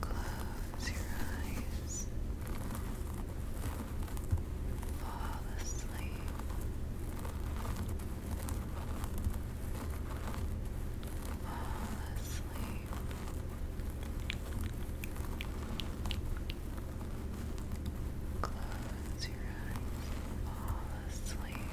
Close your eyes. Fall asleep. Fall asleep. Close your eyes. Fall asleep.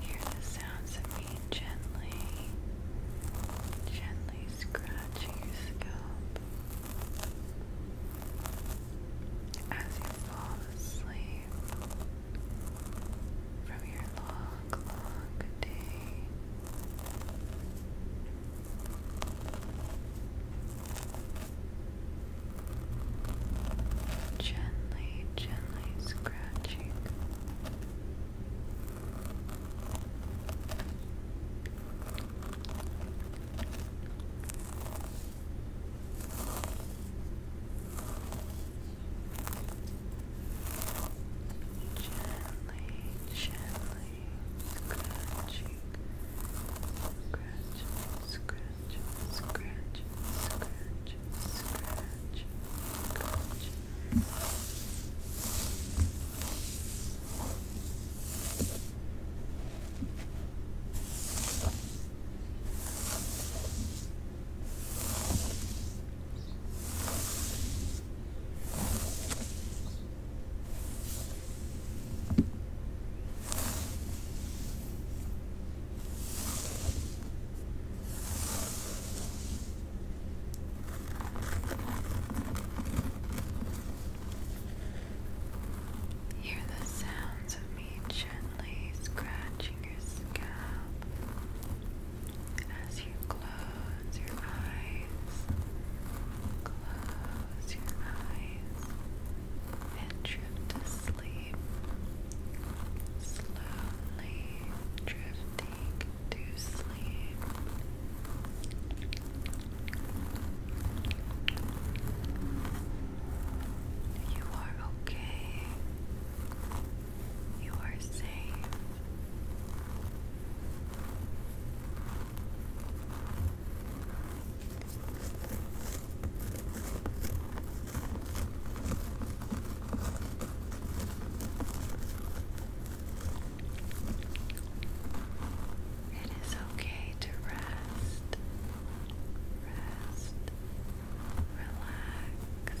Hear the sounds of me gently, gently scratching your scalp as you fall asleep from your long, long day. Gently, gently scratching gently, gently scratching, scratch, scratch, scratch, scratch, scratch. Good. Hear the sounds of me gently scratching your scalp as you close your eyes, close your eyes, and drift to sleep, slowly drifting to sleep. You are okay. You are safe. It is okay to rest, rest, relax, relax,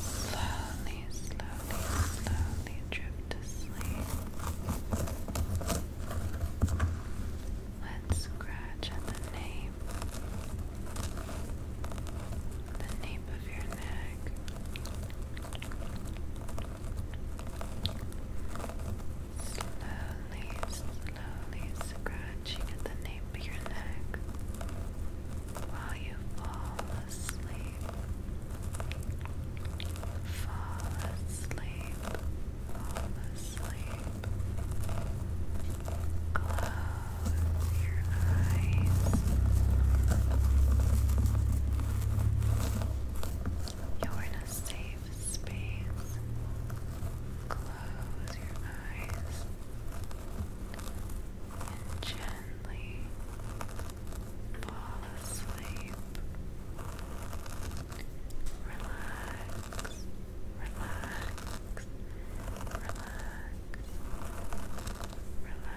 Slowly, slowly, slowly drift to sleep. Let's scratch at the nape, the nape of your neck. Slowly, slowly scratching at the nape of your neck while you fall asleep. Fall asleep. Fall asleep. Close your eyes. You're in a safe space. Close your eyes and gently fall asleep. Relax, relax, relax. Relax. Relax. Relax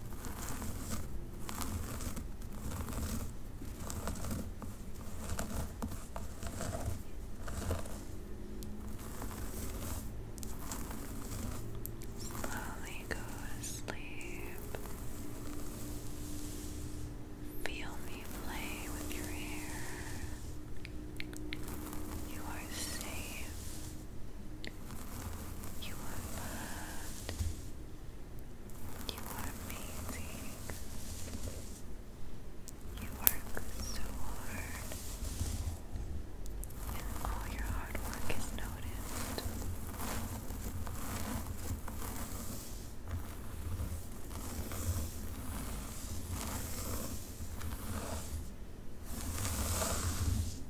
Slowly go to sleep. Feel me play with your hair. You are safe. You are loved. You are amazing. You work so hard. And all your hard work is noticed. You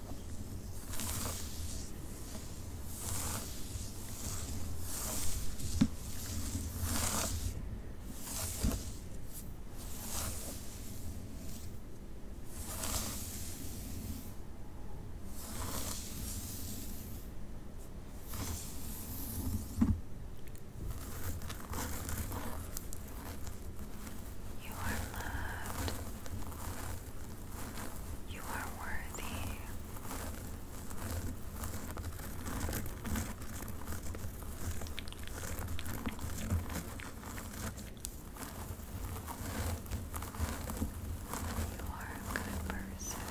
You are loved. You are worthy. You are a good person.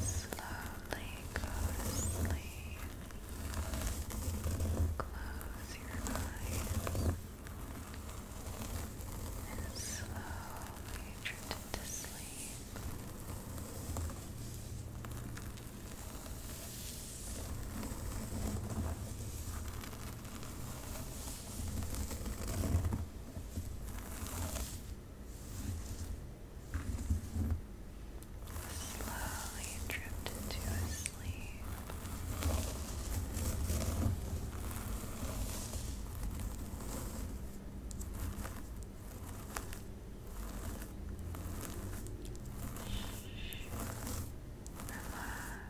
Slowly go Close your eyes and slowly drift into sleep. Slowly drift into a sleep. Relax.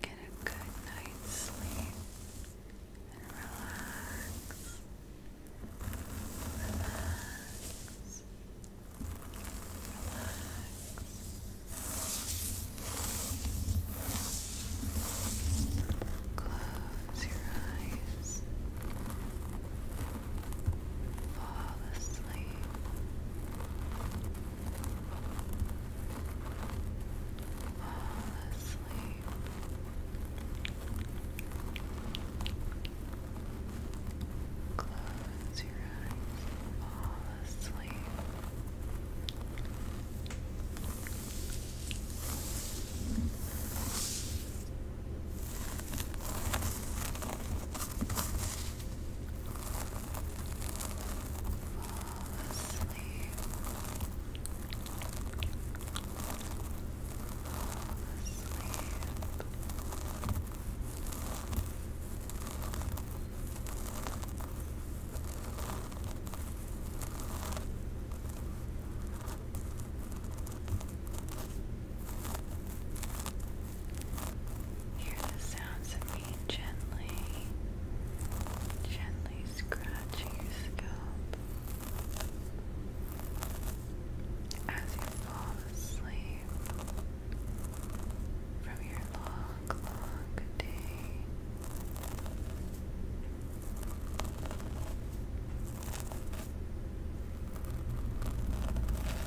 Get a good night's sleep and Relax. Relax. Relax. Close your eyes. Fall asleep. Fall asleep. Close your eyes, fall asleep. Fall asleep. Fall asleep. Fall asleep. Hear the sounds of me gently, gently scratching your scalp as you fall asleep from your long, long day.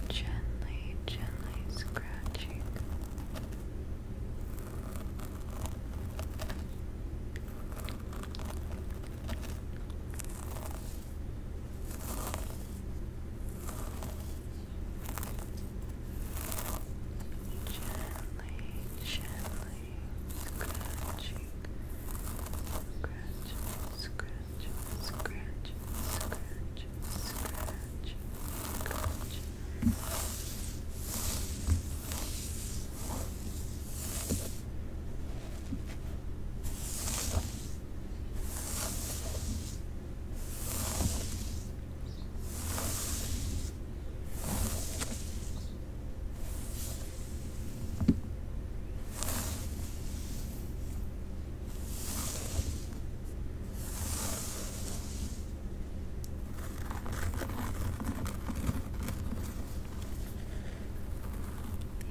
Gently, gently scratching Gently, gently scratching, scratch, scratch, scratch, scratch, scratch, scratch.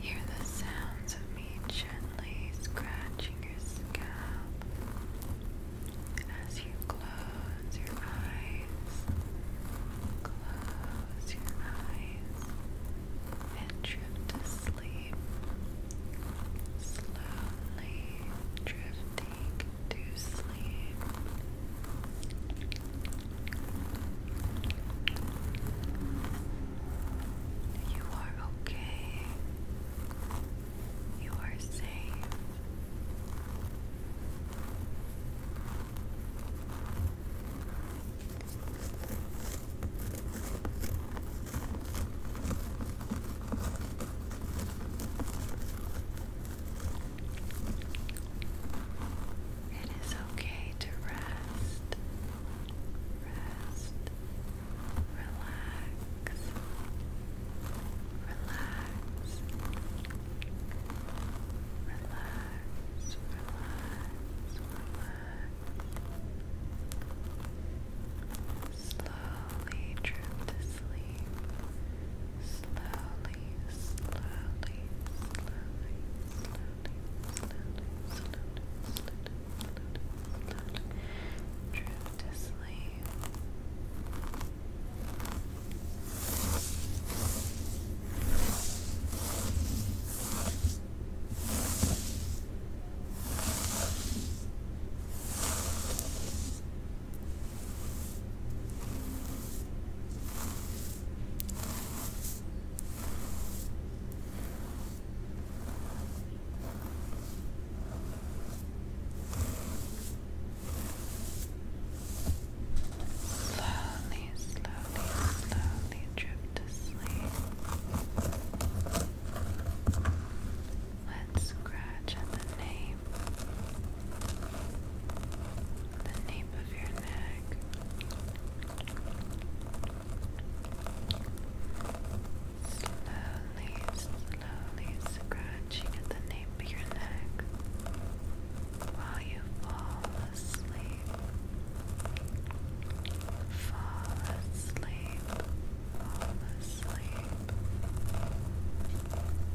Hear the sounds of gently scratching your scalp as you close your eyes. Close your eyes and drift to sleep. Slowly drifting to sleep. You are okay. You are safe. It is okay to rest, rest, relax, relax, relax, relax, relax. Slowly drift to sleep. Slowly, slowly, slowly, slowly, slowly, slowly, slowly. Drift to sleep. Slowly, slowly, slowly drift to sleep. Let's scratch at the nape, the nape of your neck. Slowly, slowly scratching at the nape of your neck while you fall asleep. Fall asleep, fall asleep.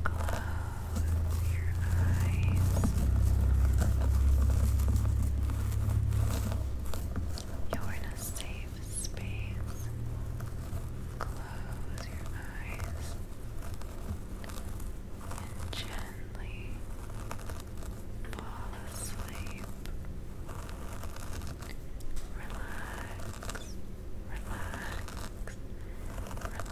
Close your eyes. You're in a safe space. Close your eyes and gently fall asleep. Relax, relax, relax, relax. Relax,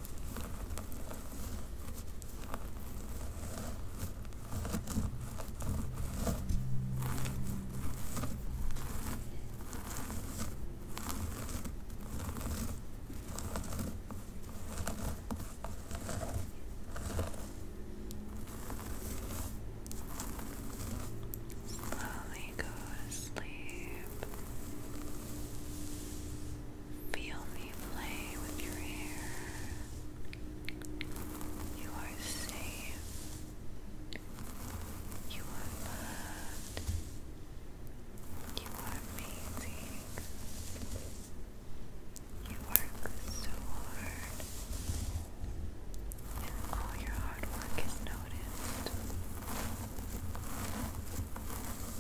Slowly go to sleep. Feel me play with your hair. You are safe. You are loved. You are amazing. You work so hard. And all your hard work is noticed.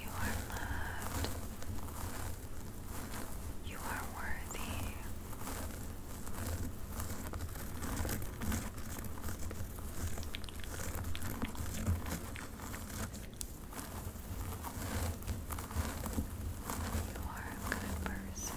You are loved. You are worthy. You are a good person.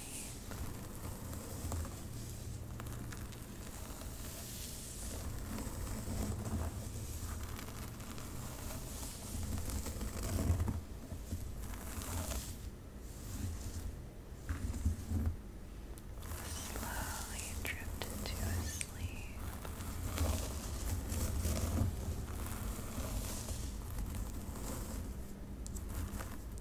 Slowly drift into a sleep.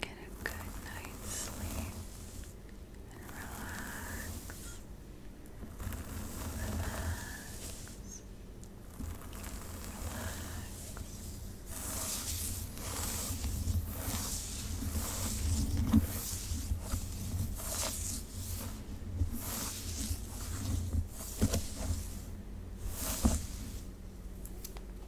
Get a good night's sleep and relax.